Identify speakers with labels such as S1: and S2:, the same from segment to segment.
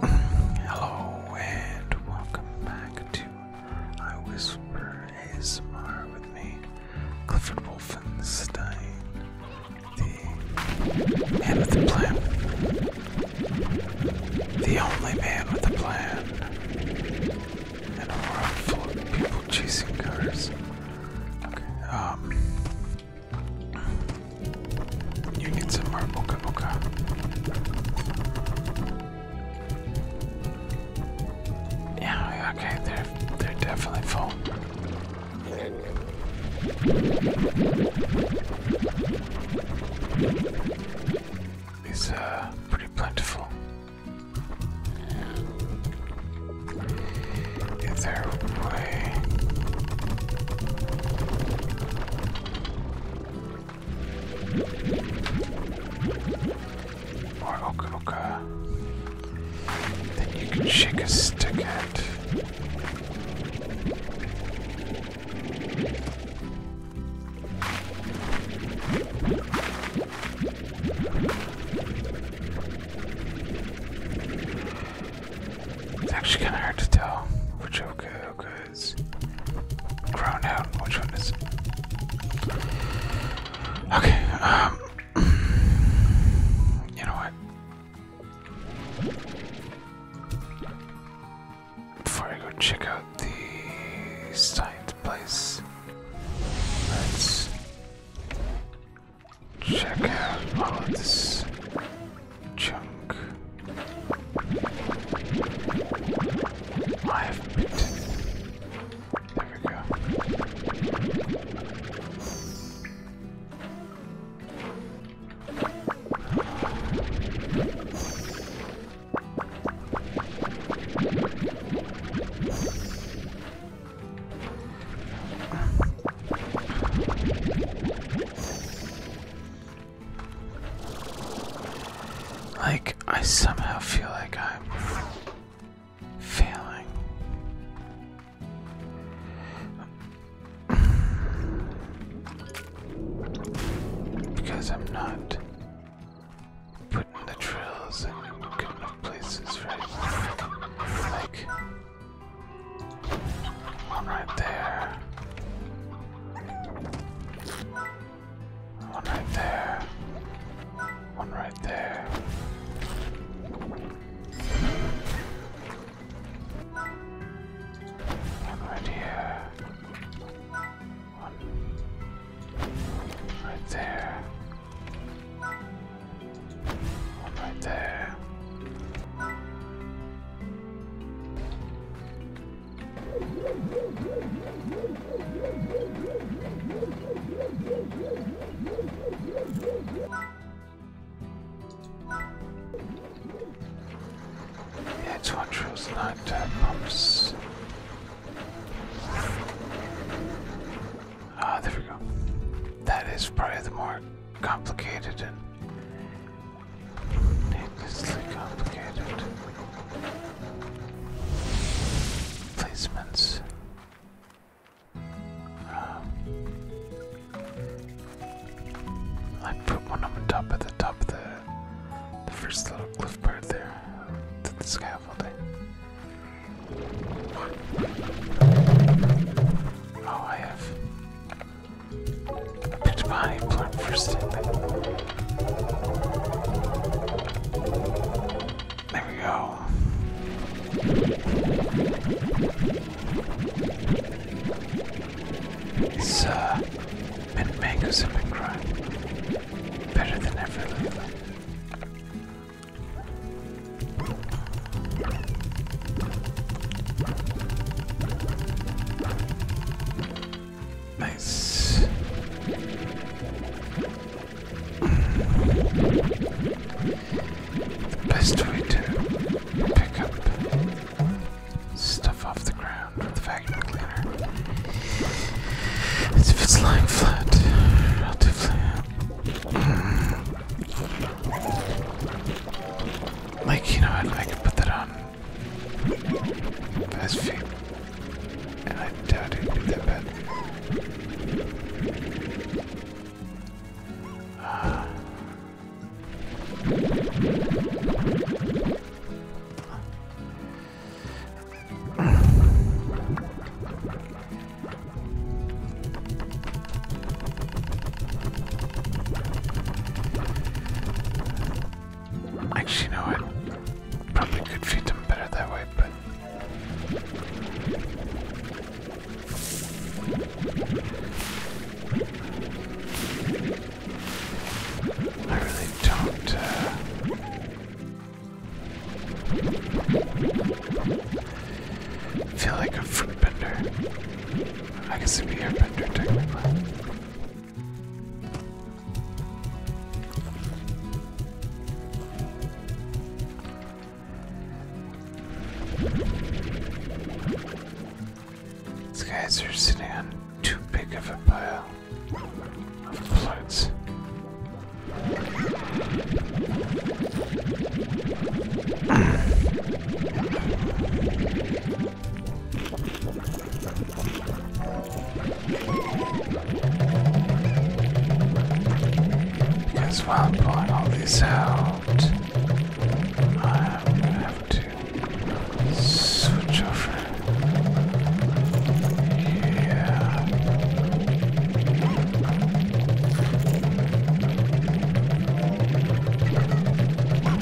S1: Hello and welcome back to I Whisper ASMR with me, Clifford Wolfenstein, the man with the plan, the only man with a plan, and a world full of people chasing cars. Okay, um, you need some more mocha mocha. Yeah, okay, they're they're definitely full. These uh, pretty plentiful. Is there Right, okay, okay. Then you can shake a stick at. It's actually kind of hard to tell. Which okay, okay is grown out and which one is Okay, um, you know what? Before I go check out the science place, let's check out all of this Chunk. I have bit. There we go. Like, I somehow feel like I'm failing. because I'm not putting the trails in the right places, right? Like, one right there. One right there. One right there. One right here. One right there.
S2: One right there.
S1: That's what draws nighttime pumps. Ah, there we go. That is probably the more complicated Needlessly complicated. Placements. Um, I put one on the top of the top of the, first little cliff part there, the scaffolding. Oh, I have I picked my plant first thing. There we go. These uh, mint mangoes have been better than ever Nice. best way to pick up stuff off the ground with the vacuum cleaner if it's lying flat, relatively. Like, you know, I could put that on that's few. And I doubt it would be that bad. Uh. Actually, no. I Probably could feed them better that way, but. I really don't. Uh, feel like a fruit bender. I guess it'd be airbender these guys are sitting on too big of a pile of floats. As well, i pulling all this out, I'm going to have to switch over yeah.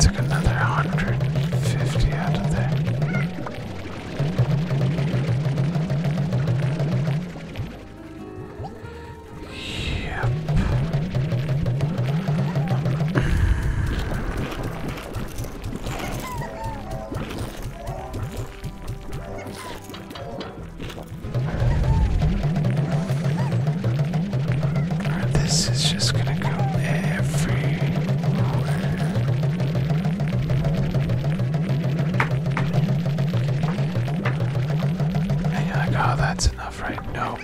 S1: took another 150 out of there. Yep this is just gonna go everywhere. And you're like, oh, that's enough, right? No.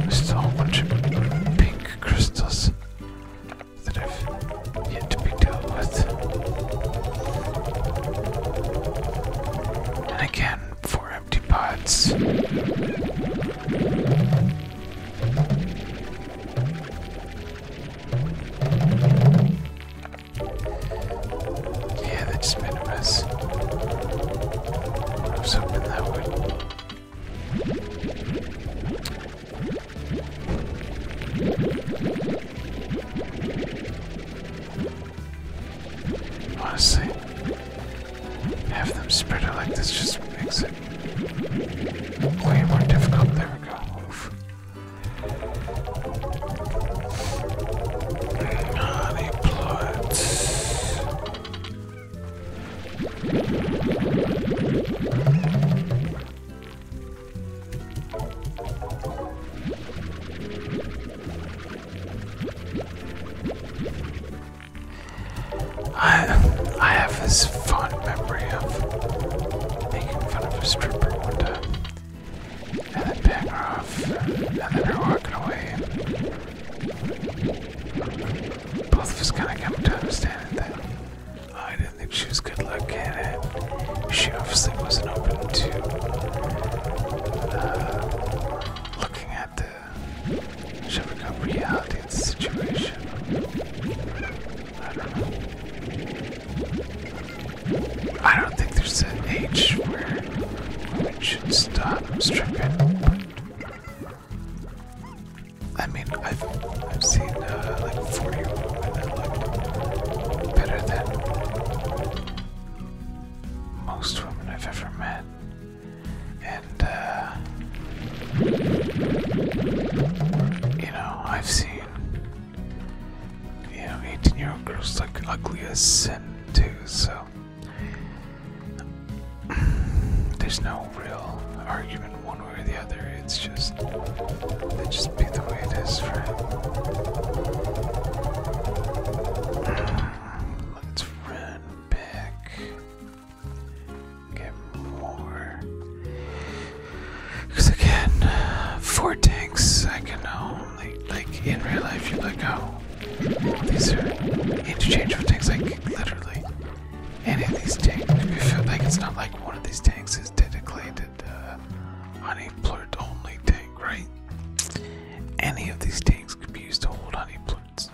S1: There's is a whole bunch of pink crystals that I've yet to be dealt with. And again, four empty pots. Yeah, that just made a mess. I was that would. Honestly, have them spread like this just makes it way more difficult. There we go. I I have this fond memory of making fun of a stripper one time and then back off, and then they're walking away. Both of us kind of come to understand that I didn't think she was good looking, and she obviously wasn't open to uh, looking at the Shabakov reality of the situation. I don't think there's an age where it should stop stripping. I mean, I've, I've seen uh, like 40 year old women that looked better than most women I've ever met. And, uh, you know, I've seen, you know, 18 year old girls like ugliest as too, so there's no real argument one way or the other. It's just it just be the way it is, right? Let's run back. Get more. Because again, four tanks, I can um, like, in real life, you're like, oh, these are interchangeable tanks, like literally. Any of these tanks, you feel like it's not like one of these tanks is dedicated uh, plurt only tank, right? Any of these tanks could be used to hold honey plurts.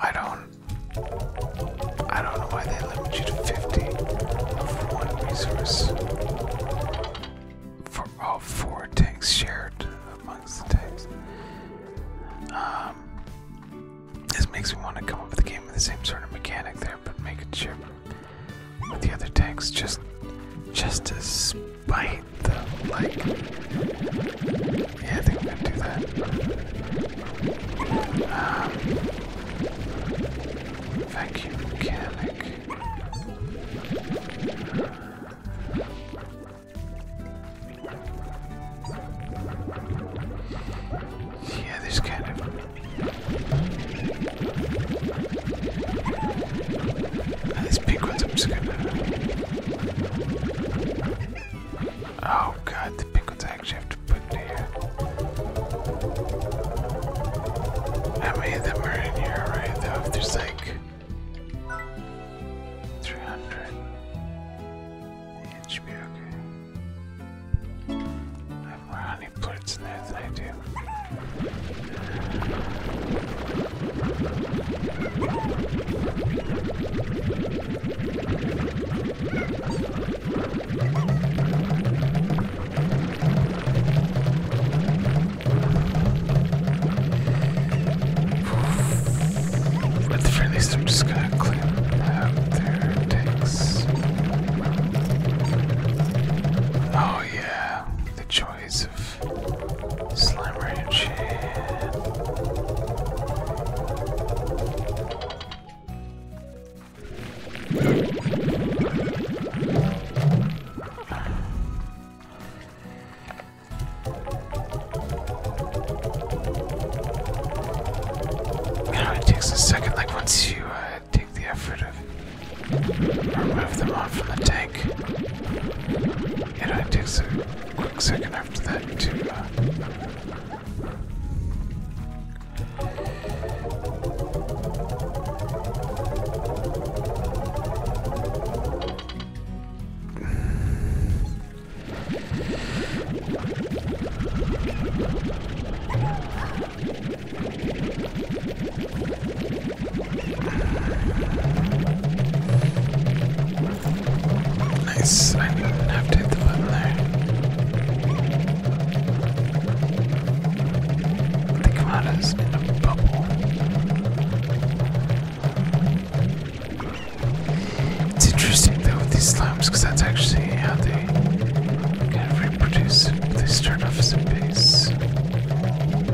S1: I don't I don't know why they limit you to 50 of one resource for all oh, four tanks shared amongst the tanks. Um, this makes me want to come up with a game with the same sort of mechanic there, but make it share with the other tanks just just to spite the like. Yeah, I think gonna do that. Um, Vacuum mechanic. Yeah, this kind of these big ones I'm just going Oh god, the big I actually How many of them are in here, right? Though, there's like 300, it should be okay. I have more honey plants than I do. At the very least, I'm just gonna clean out their tanks. Oh yeah, the joys of slime ranch. Now it takes a second, like once you uh, take the effort of remove them off from the tank. You know, takes a quick second after that to uh, Nice. I didn't have to hit the button there. Think about us in a bubble. It's interesting though with these slimes because that's actually how they kind of reproduce. They start off as a base,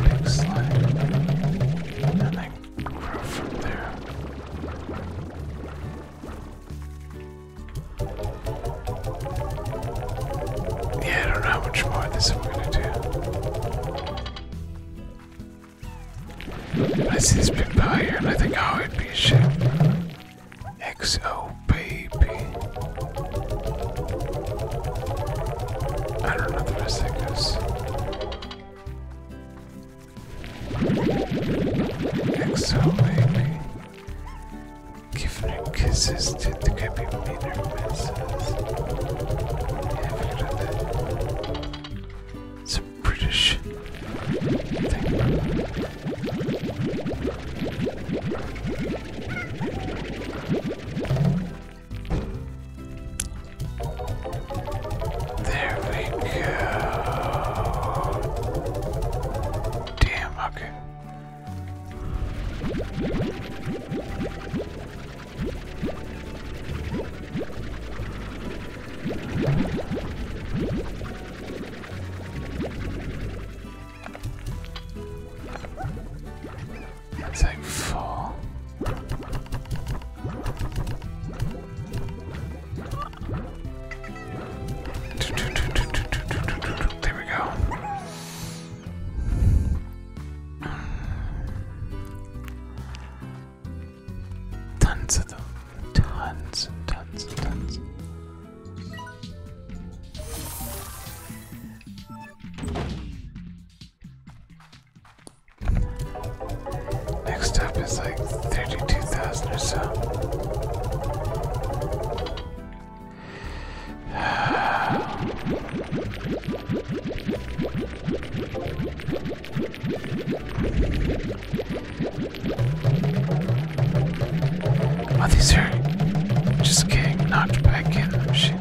S1: big slime, and they grow from there. Yeah, I don't know how much more this we're gonna do. I see this big pile here and I think oh it'd be a ship. XO baby. I don't know the rest of XO baby. Giving her kisses did the copy made her messes. it's a British thing. There we go. Damn, okay. Take four. There we go. Tons of them. Tons and tons and tons. Next up is like 32,000 or so. Oh, these are just getting knocked back in the machine.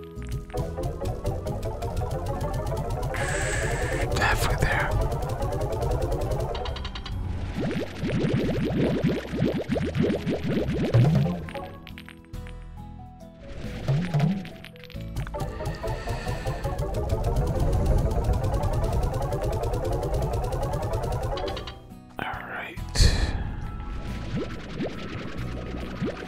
S1: Halfway there. All right.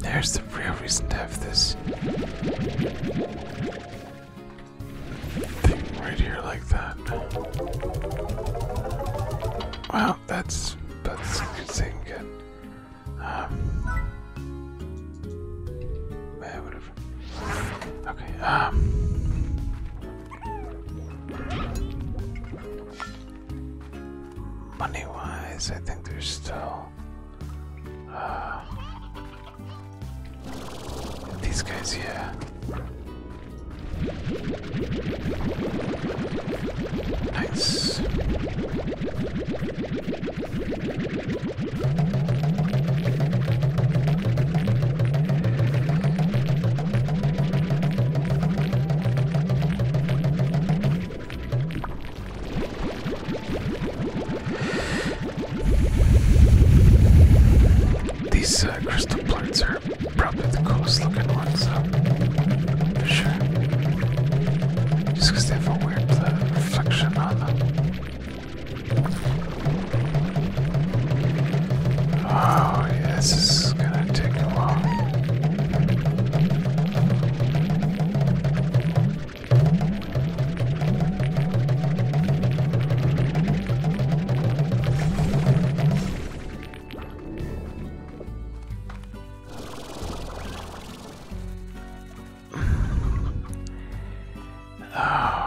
S1: There's the real reason to have this thing right here like that. Wow, that's that's a good thing. Um, yeah, whatever. Okay. Um. Money wise, I think there's still. Uh, these guys, yeah.
S2: Nice.
S1: These uh, crystal plants are probably the coolest looking ones though, for sure. Just because they have a weird uh, reflection on them. Oh yeah, this is gonna take a while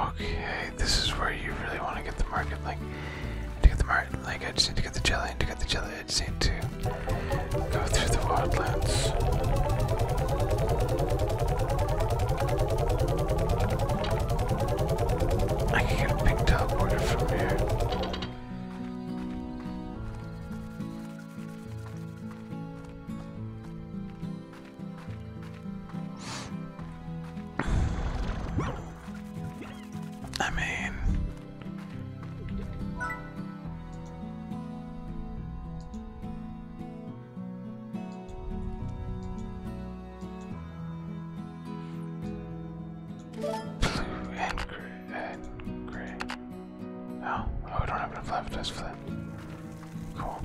S1: okay, this is where you really want to get the market. Like, to get the market, like I just need to get the jelly, and to get the jelly, I need to go through the wildlands. I can get a big teleporter from here. I mean, Blue and gray. Oh, oh, we don't have enough lapis for that. Cool.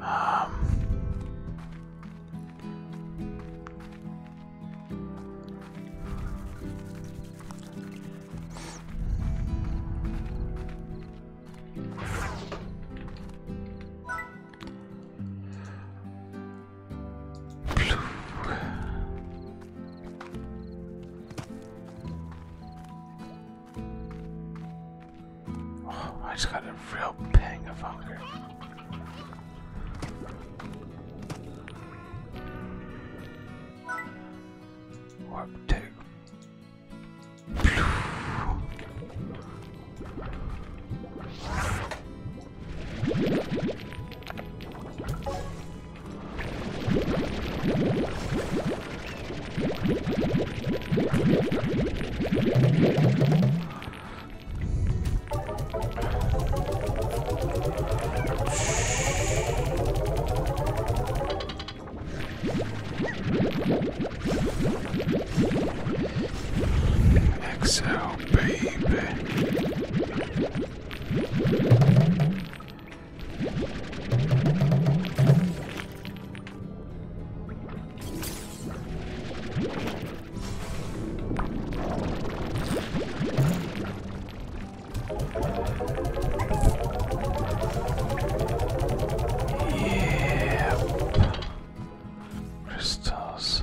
S1: Um. Oh, I just got a real pang of hunger. Warp two. Exhale baby. Yep. Crystals.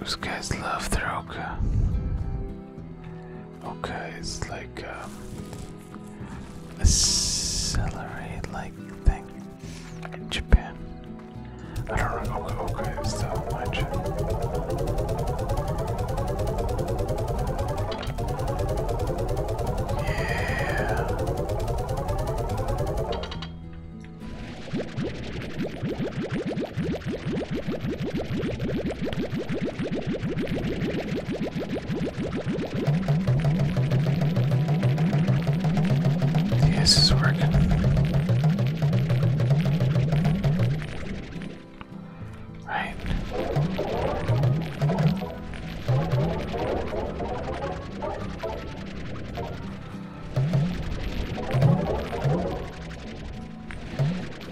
S1: Those guys love their oka. Okay, it's like um, a like thing in Japan. I don't know. Okay, it's the online Yeah. This is working. Right.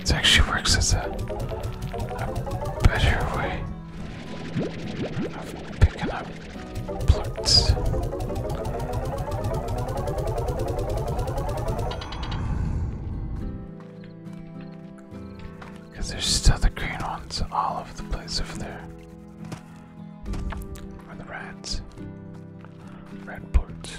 S1: It actually works as a, better way of picking up Plants. Because there's still the green ones all over the place over there. Or the rats. Red ports.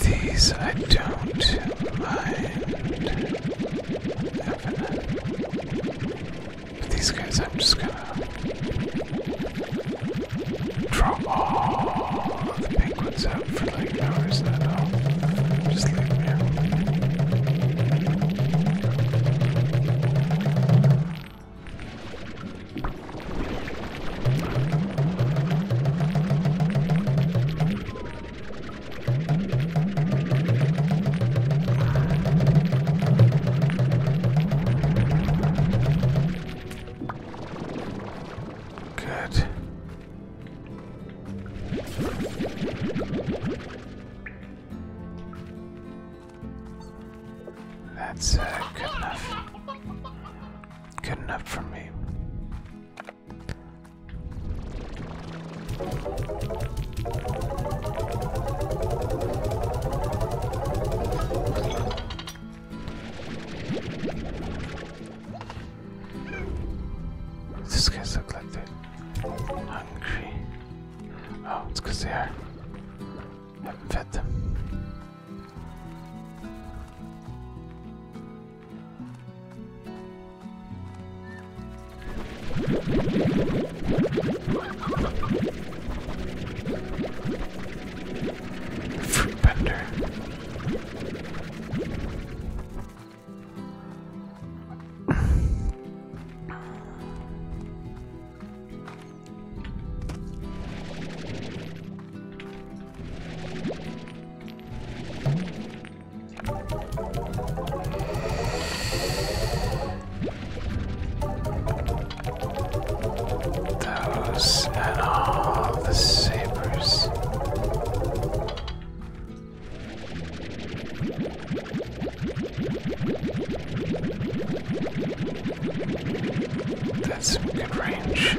S1: These I don't mind. these guys, I'm just gonna draw all the penguins out for like hours now. Just leave them Good. That's uh, good enough. Good enough for me. This guys look like they're hungry. Oh, it's because they are. I haven't fed them.
S2: Fruit vendor.
S1: Those and all the sabers. That's good range.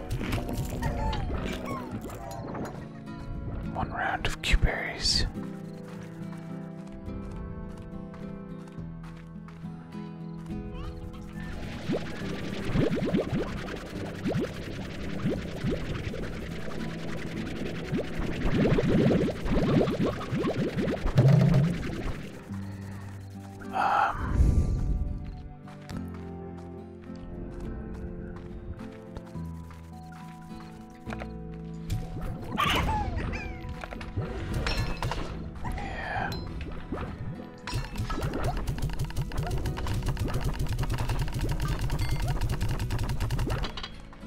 S1: One round of Q berries.
S2: Um yeah.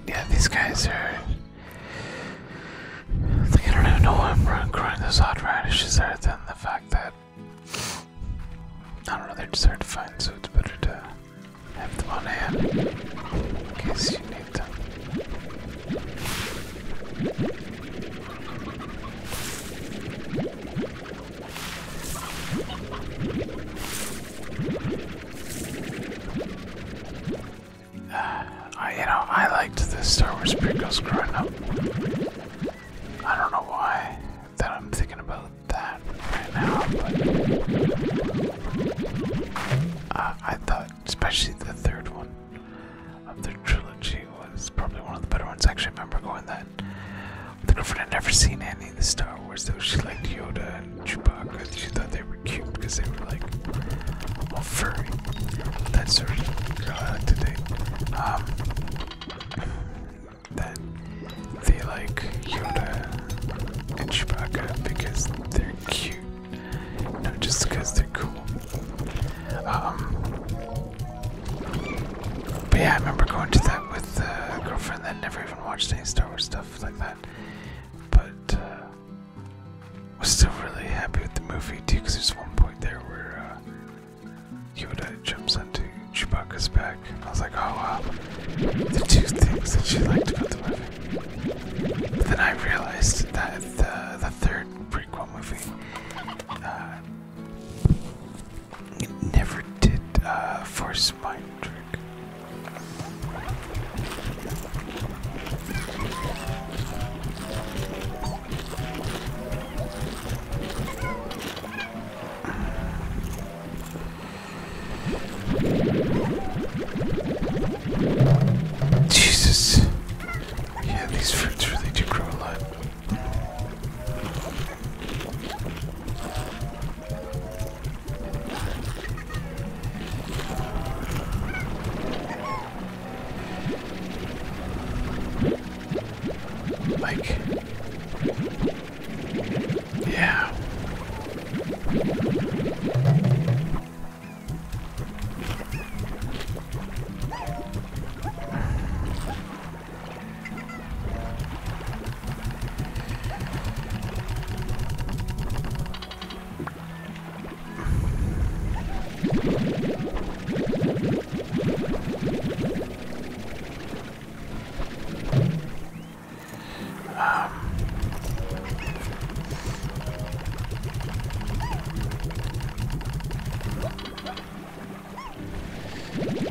S1: Yeah, these guys are. Like, I don't even know why I'm growing those hot radishes other than the fact that I don't know, they're just so it's better to have them on hand in case you need them. I, you know, I liked the Star Wars prequels growing up. I don't know why that I'm thinking about that right now, but I thought, especially the third one of the trilogy, was probably one of the better ones. I actually remember going that. The girlfriend had never seen any of the Star Wars, though she liked Yoda and Chewbacca. She thought they were cute because they were like all furry. That's sort of girl I like to date than the like Yoda and Chewbacca because they're cute, not just because they're cool. Um, but yeah, I remember going to that with a girlfriend that never even watched any Star Wars stuff like that, but uh, was still really happy with the movie too. Because there's one point there where uh, he Yoda jumps onto Chewbacca's back. I was like, oh wow, the two things that she liked about the movie. then I realized that the, the third prequel movie uh, never did uh, Force Mind Trick. Jesus. Yeah, these fruits really do grow a lot. Like, yeah. Um,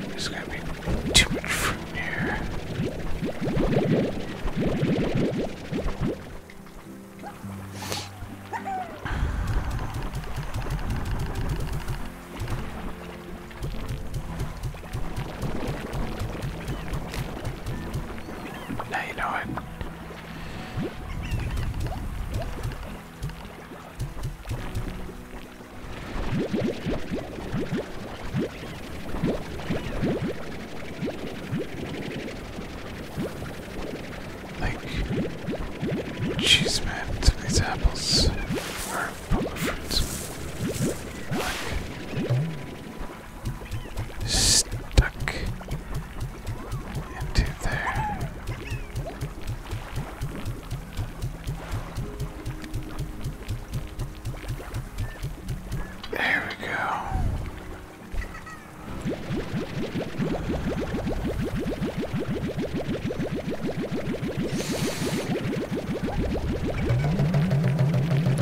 S1: there's gonna be too much fruit in here. Now you know it. Like, cheese man, these apples Stuck into there. There we go.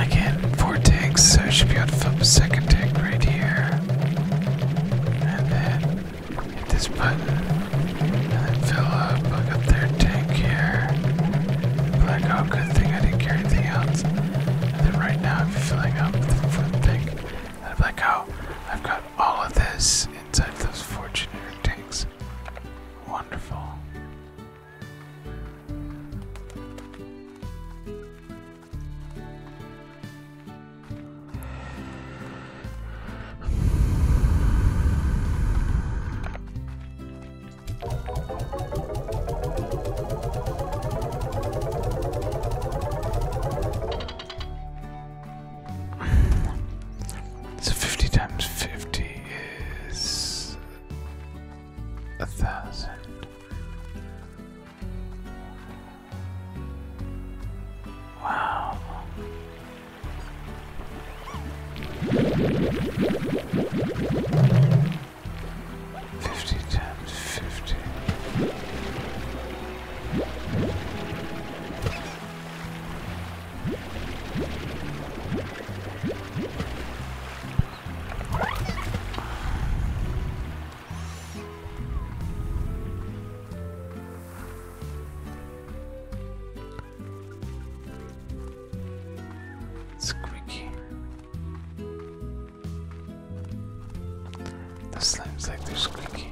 S1: I get four tanks, so I should be able to fill up a second tank right here. And then hit this button. And then fill up, like a third tank here. Like, oh, good thing I didn't carry anything else. And then right now I'm filling up the fourth tank. I'm like, oh, I've got all of this inside those four generic tanks. Wonderful. So 50 times 50 is a thousand. Wow. Fifty times fifty. Squeaky. The slime's like they're squeaky.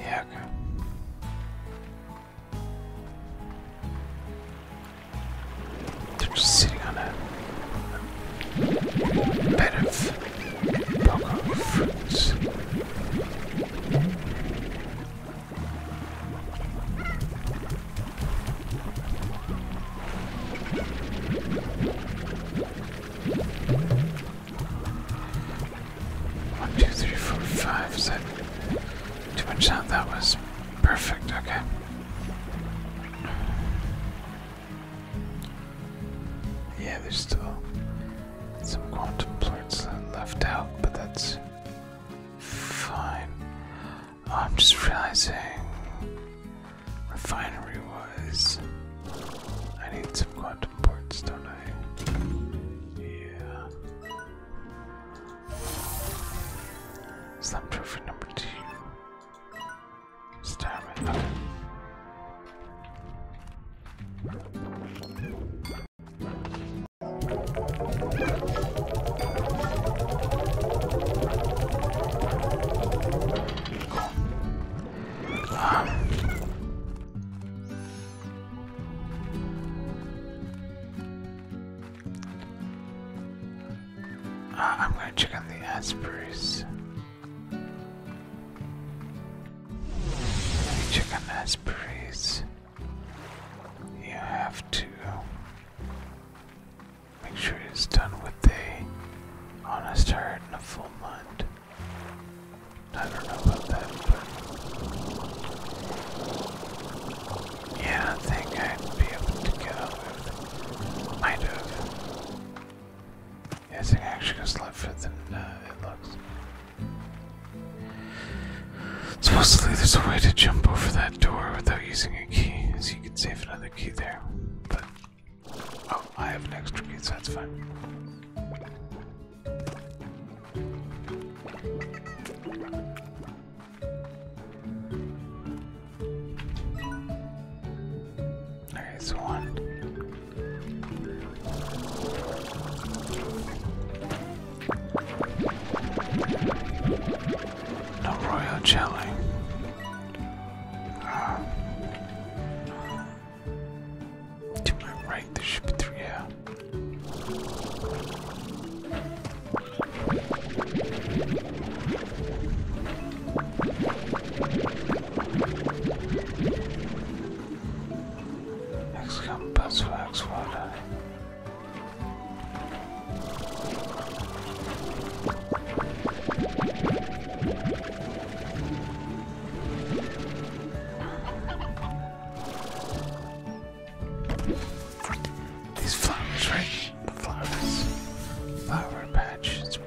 S1: Yeah, They're just sitting on a, a bed fruits. One, two, three, four, five. Is that too much sound? That was perfect. Okay. Yeah, there's still some quantum plorts left out, but that's fine. Oh, I'm just realizing refinery was. I need some quantum ports, don't no. Yeah. Slam trophy number two. Stamina. Um, cool. Uh, I'm gonna check on the Asperus. Let check on Asperus. You have to make sure it's done with a honest heart and a full mind. I don't know about that, but yeah, I think I'd be able to get over it. Might have. Yeah, I think I actually goes left than it looks. Supposedly there's a way to jump over that door without using a key, so you could save another key there. But oh, I have an extra key, so that's fine. There's one. No royal jelly. To my right, there should be three, yeah. X compass for X these flowers, right? flowers. Flower patches.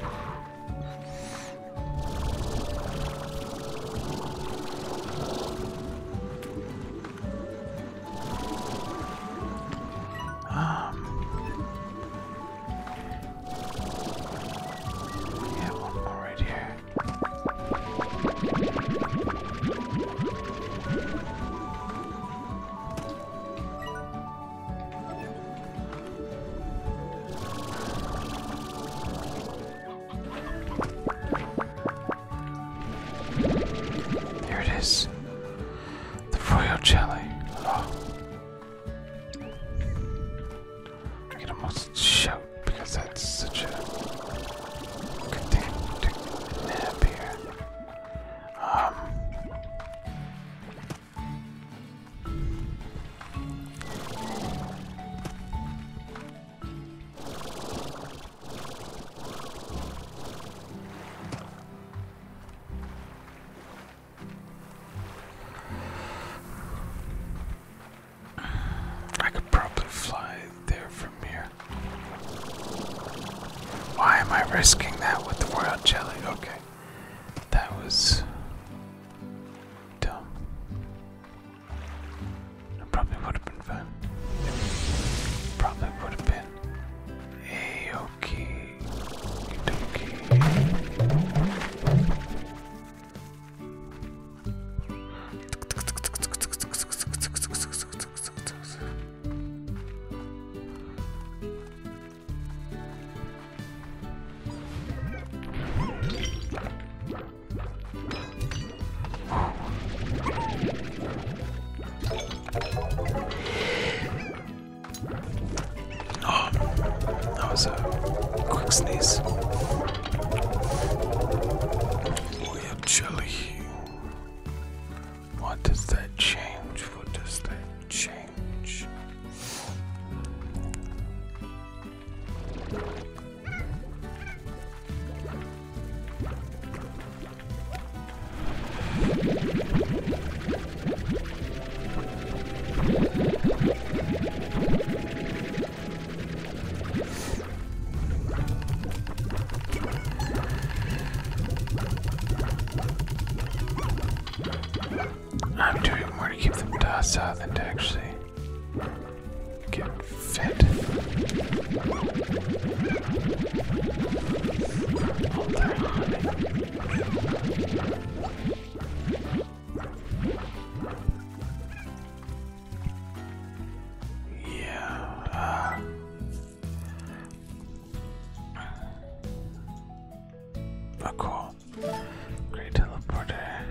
S1: Um Yeah, one more right here. Here it is. The foil jelly. Oh. I can almost shout because that's such a good thing to nab here. Um, I could probably fly there from here. Why am I risking that with the royal jelly? Okay. That was dumb. That probably would have been fun. Probably would have been a okay. Dokie. Oh, that was a quick sneeze. We have chili. What does that change? What does that change? I'm doing more to keep them tossed than to actually get fit. Yeah. Uh, cool. Great teleporter.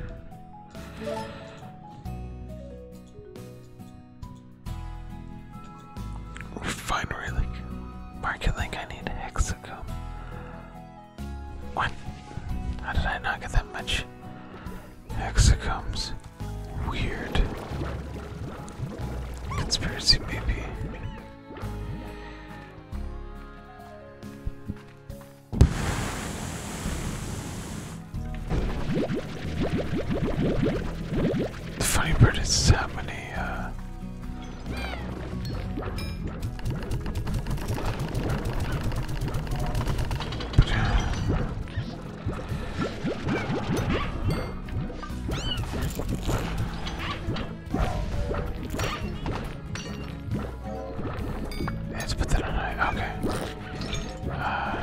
S1: Refinery link. Market link. I need hexacomb. What? How did I not get that much? Hexagums. Weird. Conspiracy, maybe. The funny part is how many, uh, Let's put that on it. Okay. Uh.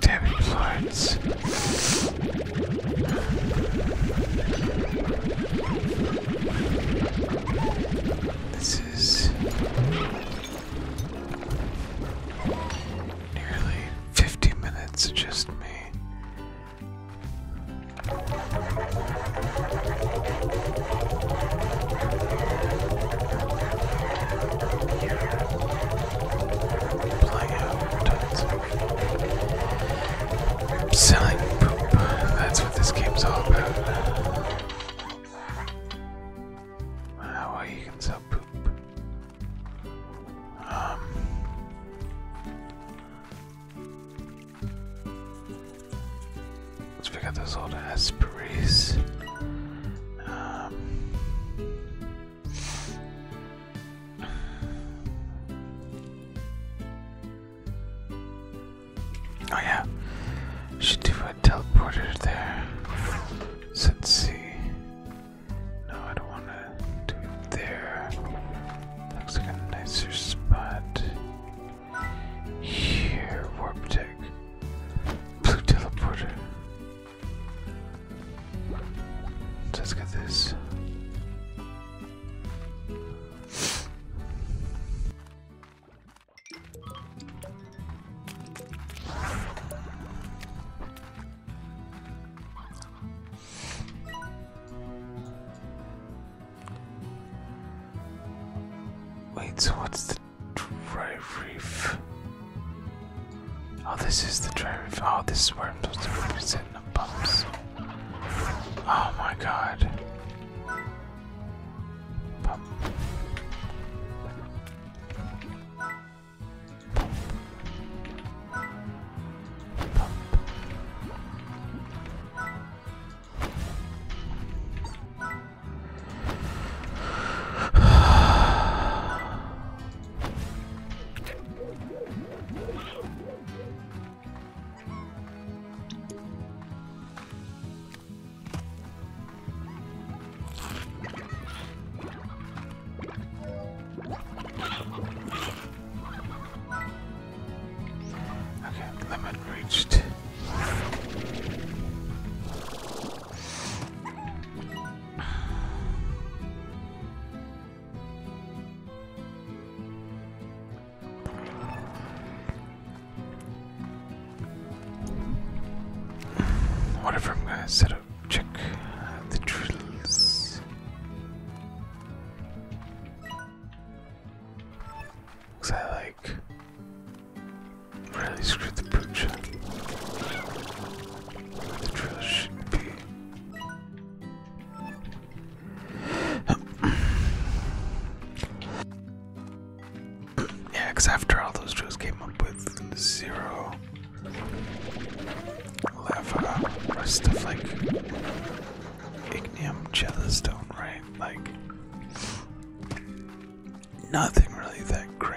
S1: Damn it, influence. This is nearly 50 minutes of just me. Playing out tons Selling poop. That's what this game's all about. Ah, wow, you can sell poop. Um. Let's pick out those old Aspreys. Um. Oh yeah, should do a teleporter there. let's see. No, I don't want to do it there. Looks like a nicer spot. Here, warp tech, blue teleporter let's get this. Wait, so what's the dry reef? Oh, this is the drive. Oh, this is where I'm supposed to be setting the bumps. Oh my god. Okay, limit reached. What I'm gonna set up check the drills? Cause I like really screwed the picture. The drill should be yeah, because after all those drills, came up with zero lava, rest of like ignium, stone, right? Like nothing really that great,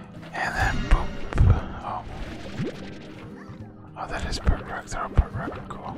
S1: And then boom. Oh. Oh, that is perfect. rock. they Cool.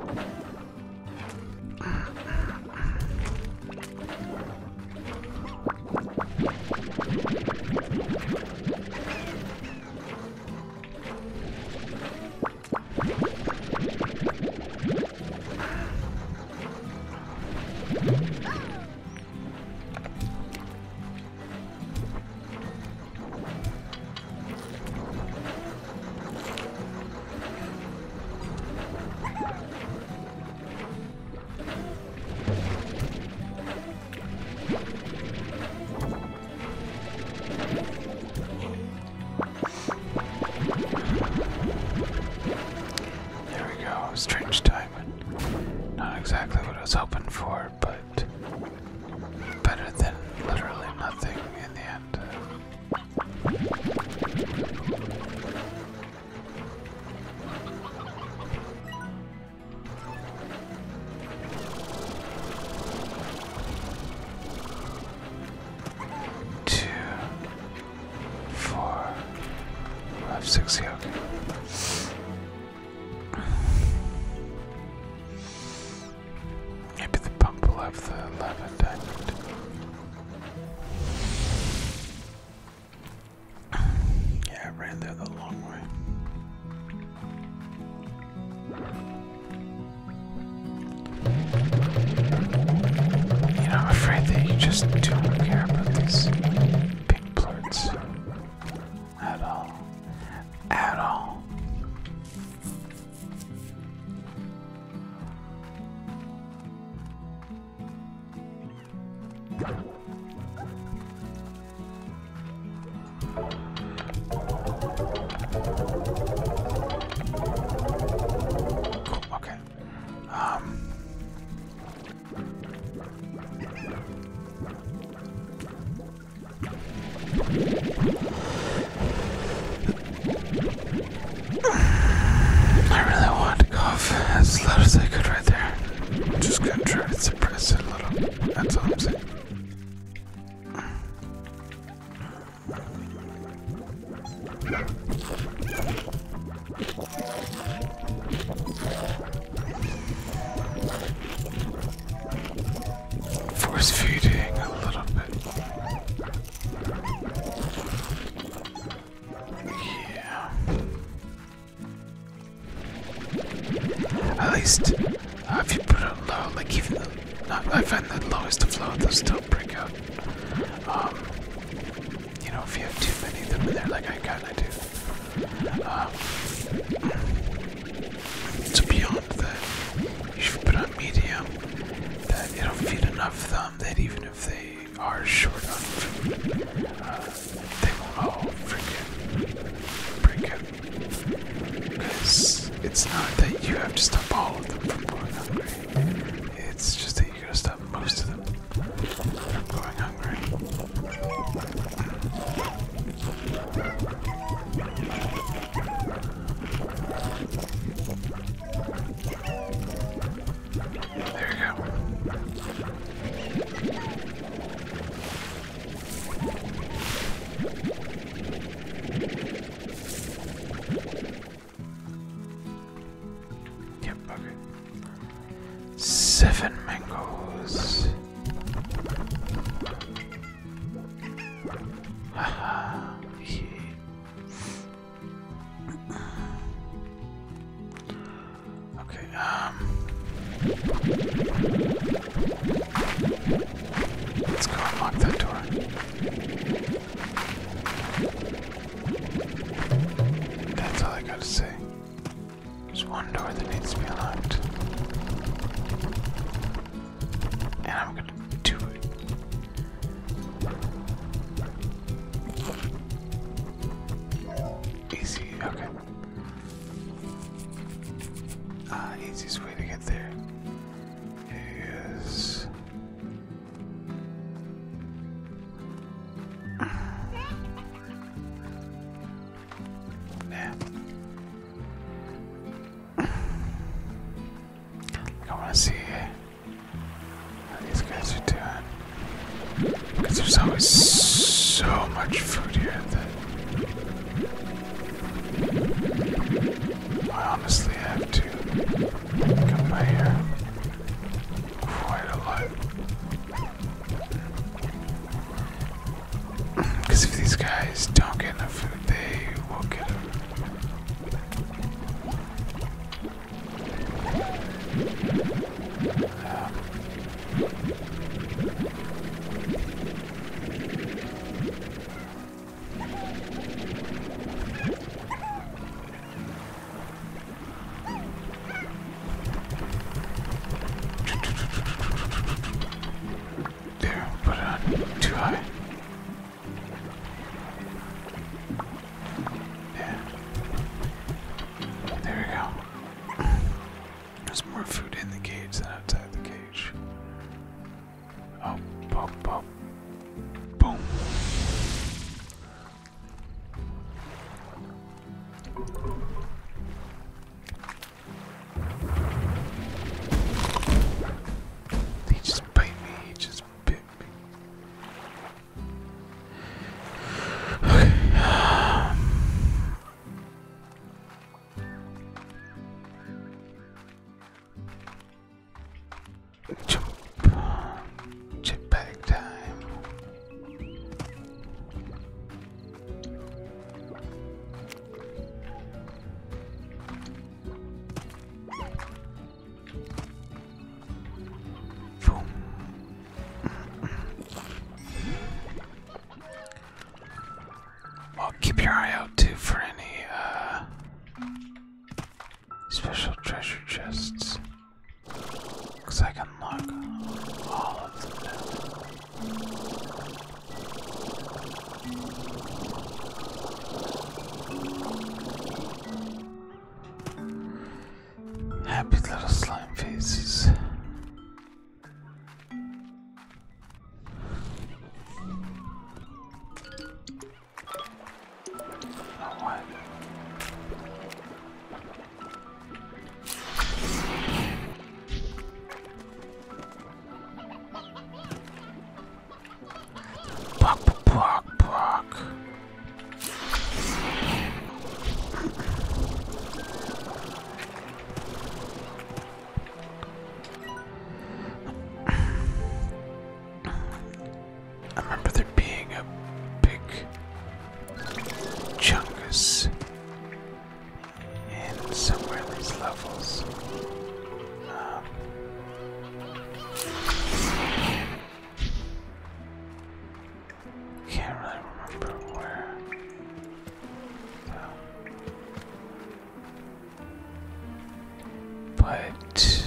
S1: There we go, strange timing. Not exactly what I was hoping for but better than literally nothing in the end. Two, four, five, six, yeah, Maybe the pump will have the lava Yeah, I ran there the long way. You know, I'm afraid that you just don't care about these pink plants at all. At all. okay. Um I really want to cough as loud as I could right there. I'm just gonna try to suppress it a little. That's all I'm saying. Force feeding a little bit. Yeah. At least uh, if you put it low, like even I find the lowest of low, they'll still break out. Um, you know, if you have too many of them in there, like I kinda do. Um, so beyond you should put on medium. That it'll feed enough of them that even if they are short on uh, they won't all freaking break out. Because it's not that you have to stop all of them from going hungry. It's just that you gotta stop most of them from going hungry. There you go. Yep, okay. Seven mangoes. Okay, um Let's go and lock that door. That's all I gotta say. There's one door that needs to be unlocked. And I'm gonna do it. Easy, okay. Ah, easiest way to get there is yeah. I want to see what these guys are doing. Because there's always so much food here that I honestly have to come by here quite a lot. Because if these guys don't get enough food, they will get them. There, put it on too high. Yeah. There we go. There's more food in the cage than outside the cage. Oh, pop, oh, pop. Oh. Boom. He just bit me, he just bit me. Okay, Jump, uh, jetpack time. Well, keep your eye out too for any uh, special treasure chests. Looks like Happy little slime faces. what? Block, block, block. I remember there being a big chunkus. And somewhere in these levels, um, can't really remember where. Um, but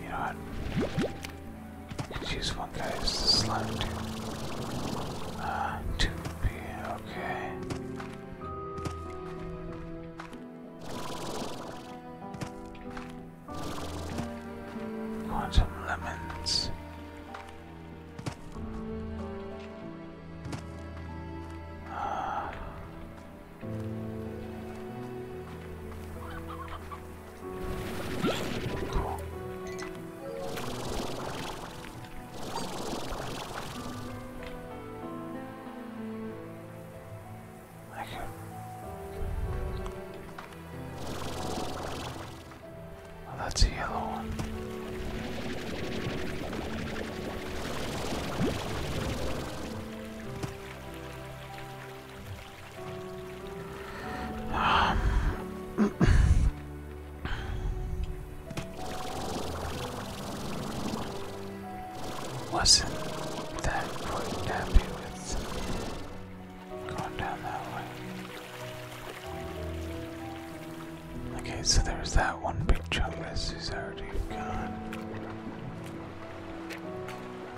S1: you know and one guy as the slime too. Uh, two B, okay. Quantum lemons. Uh, that's a yellow one. Um, wasn't that quite happy with going down that way? Okay, so there's that one big chunk that already gone.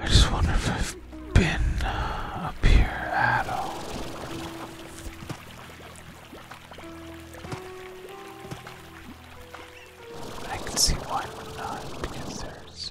S1: I just wonder if I've been up here at all. I can see why not, because there's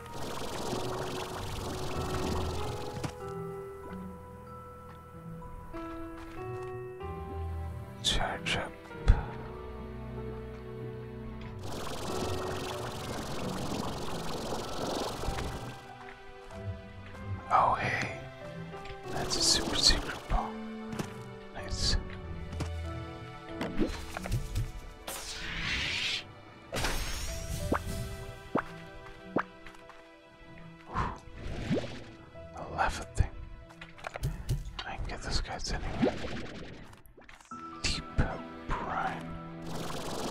S1: Charge up. Oh, hey, that's a super secret ball. Nice. Whew. I love a thing. I can get this guy's anyway. Depot Prime.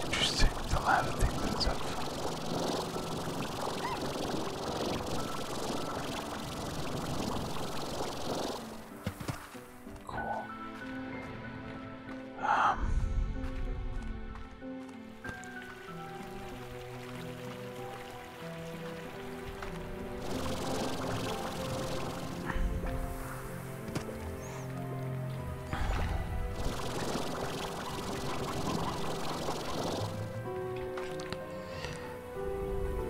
S1: Interesting. The lava thing that's up.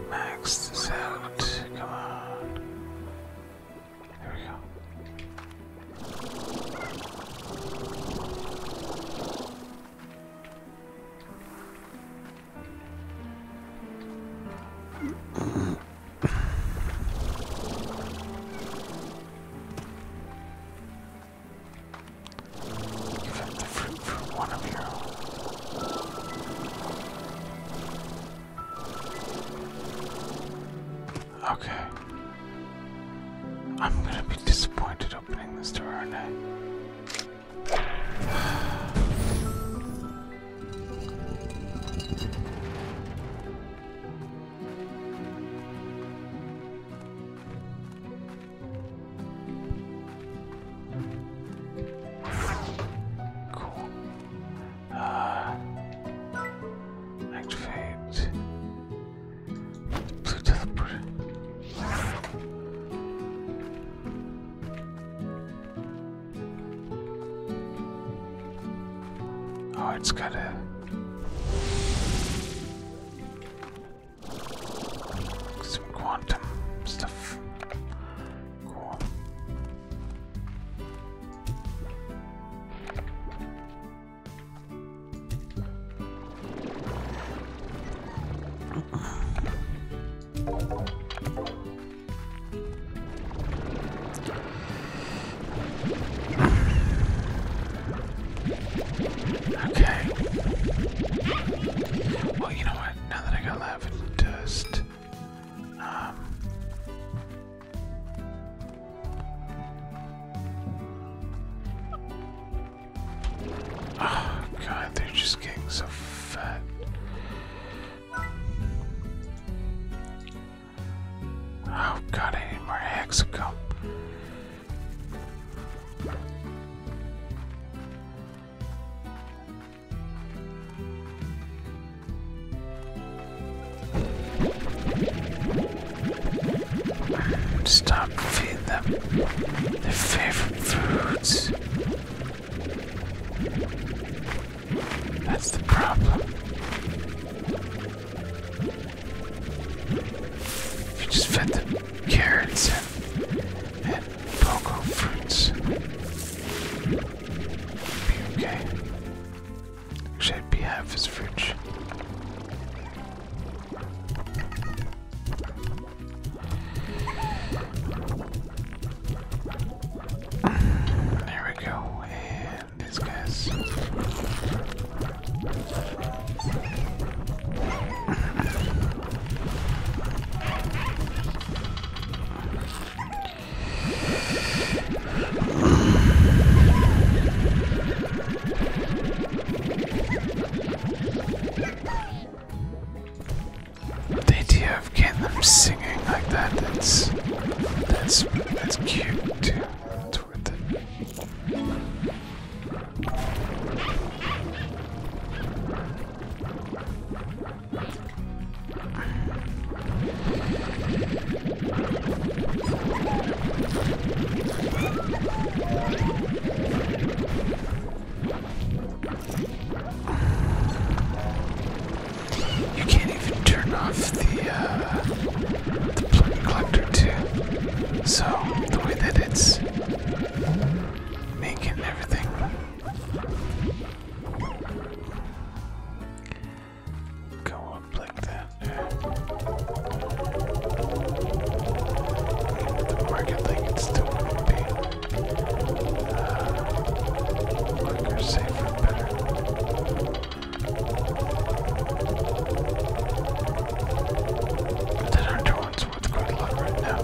S1: Max this out. Come on. There we go. You've the fruit for one of your own. Okay. I'm gonna be disappointed opening this door, are cool. Uh, activate blue teleporter. Oh, it's got a. Some quantum stuff. Okay. Well, you know what? Now that I got lava dust, oh god, they're just getting so fat. Oh god, I need more hexacomb. Stop feeding them their favorite foods. That's the problem. If you just fed them carrots and, and pogo fruits, okay. Should be half his fridge. There we go, and these guys. The idea of getting them singing like that, that's that's that's cute That's worth it. You can't even turn off the uh, the plug collector too. So the way that it's making
S2: everything go
S1: up like that. the market thing it's still gonna be uh, safer, better. But that hunter one's worth quite a lot right now.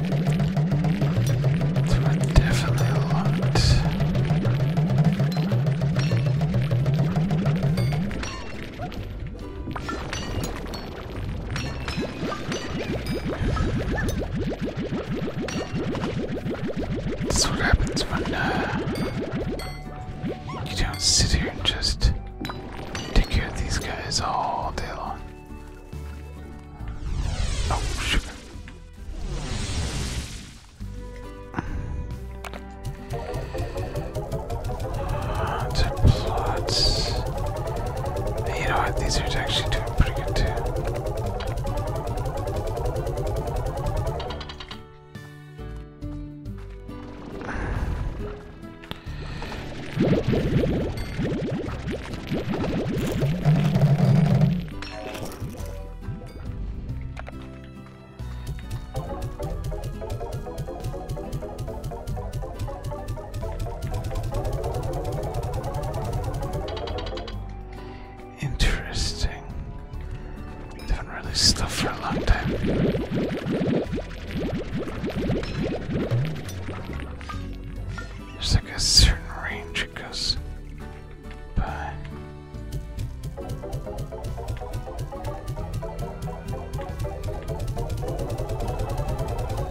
S1: So definitely a lot. is what happens when uh, you don't sit here and just take care of these guys all day long. Oh, shit. You know what? These are actually doing pretty good, too. Interesting. Haven't released stuff for a long time. There's like a certain range it goes by.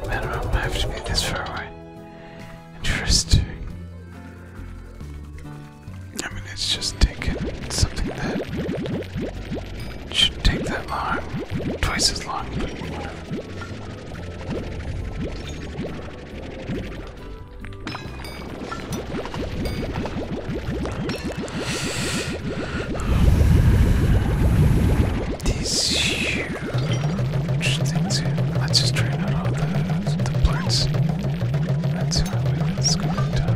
S1: Minimum, I have to be this far away. Interesting. I mean, it's just taking something that should take that long. Twice as long, these huge things here. Let's just drain out all the, the parts. That's how we let's go down.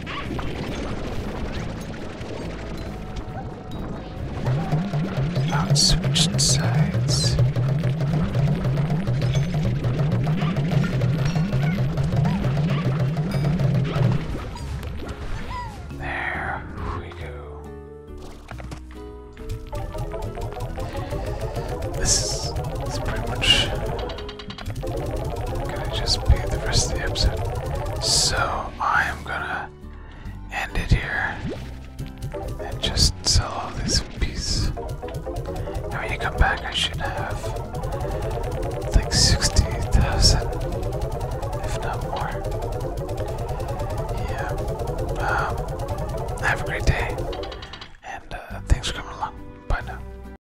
S1: Not switching sides. There we go. This is, this pretty much just be the rest of the episode. So I am gonna end it here and just sell all these pieces. when you come back, I should have like sixty thousand, if not more. Yeah. Um, have a great day,
S2: and uh, thanks coming along. Bye now.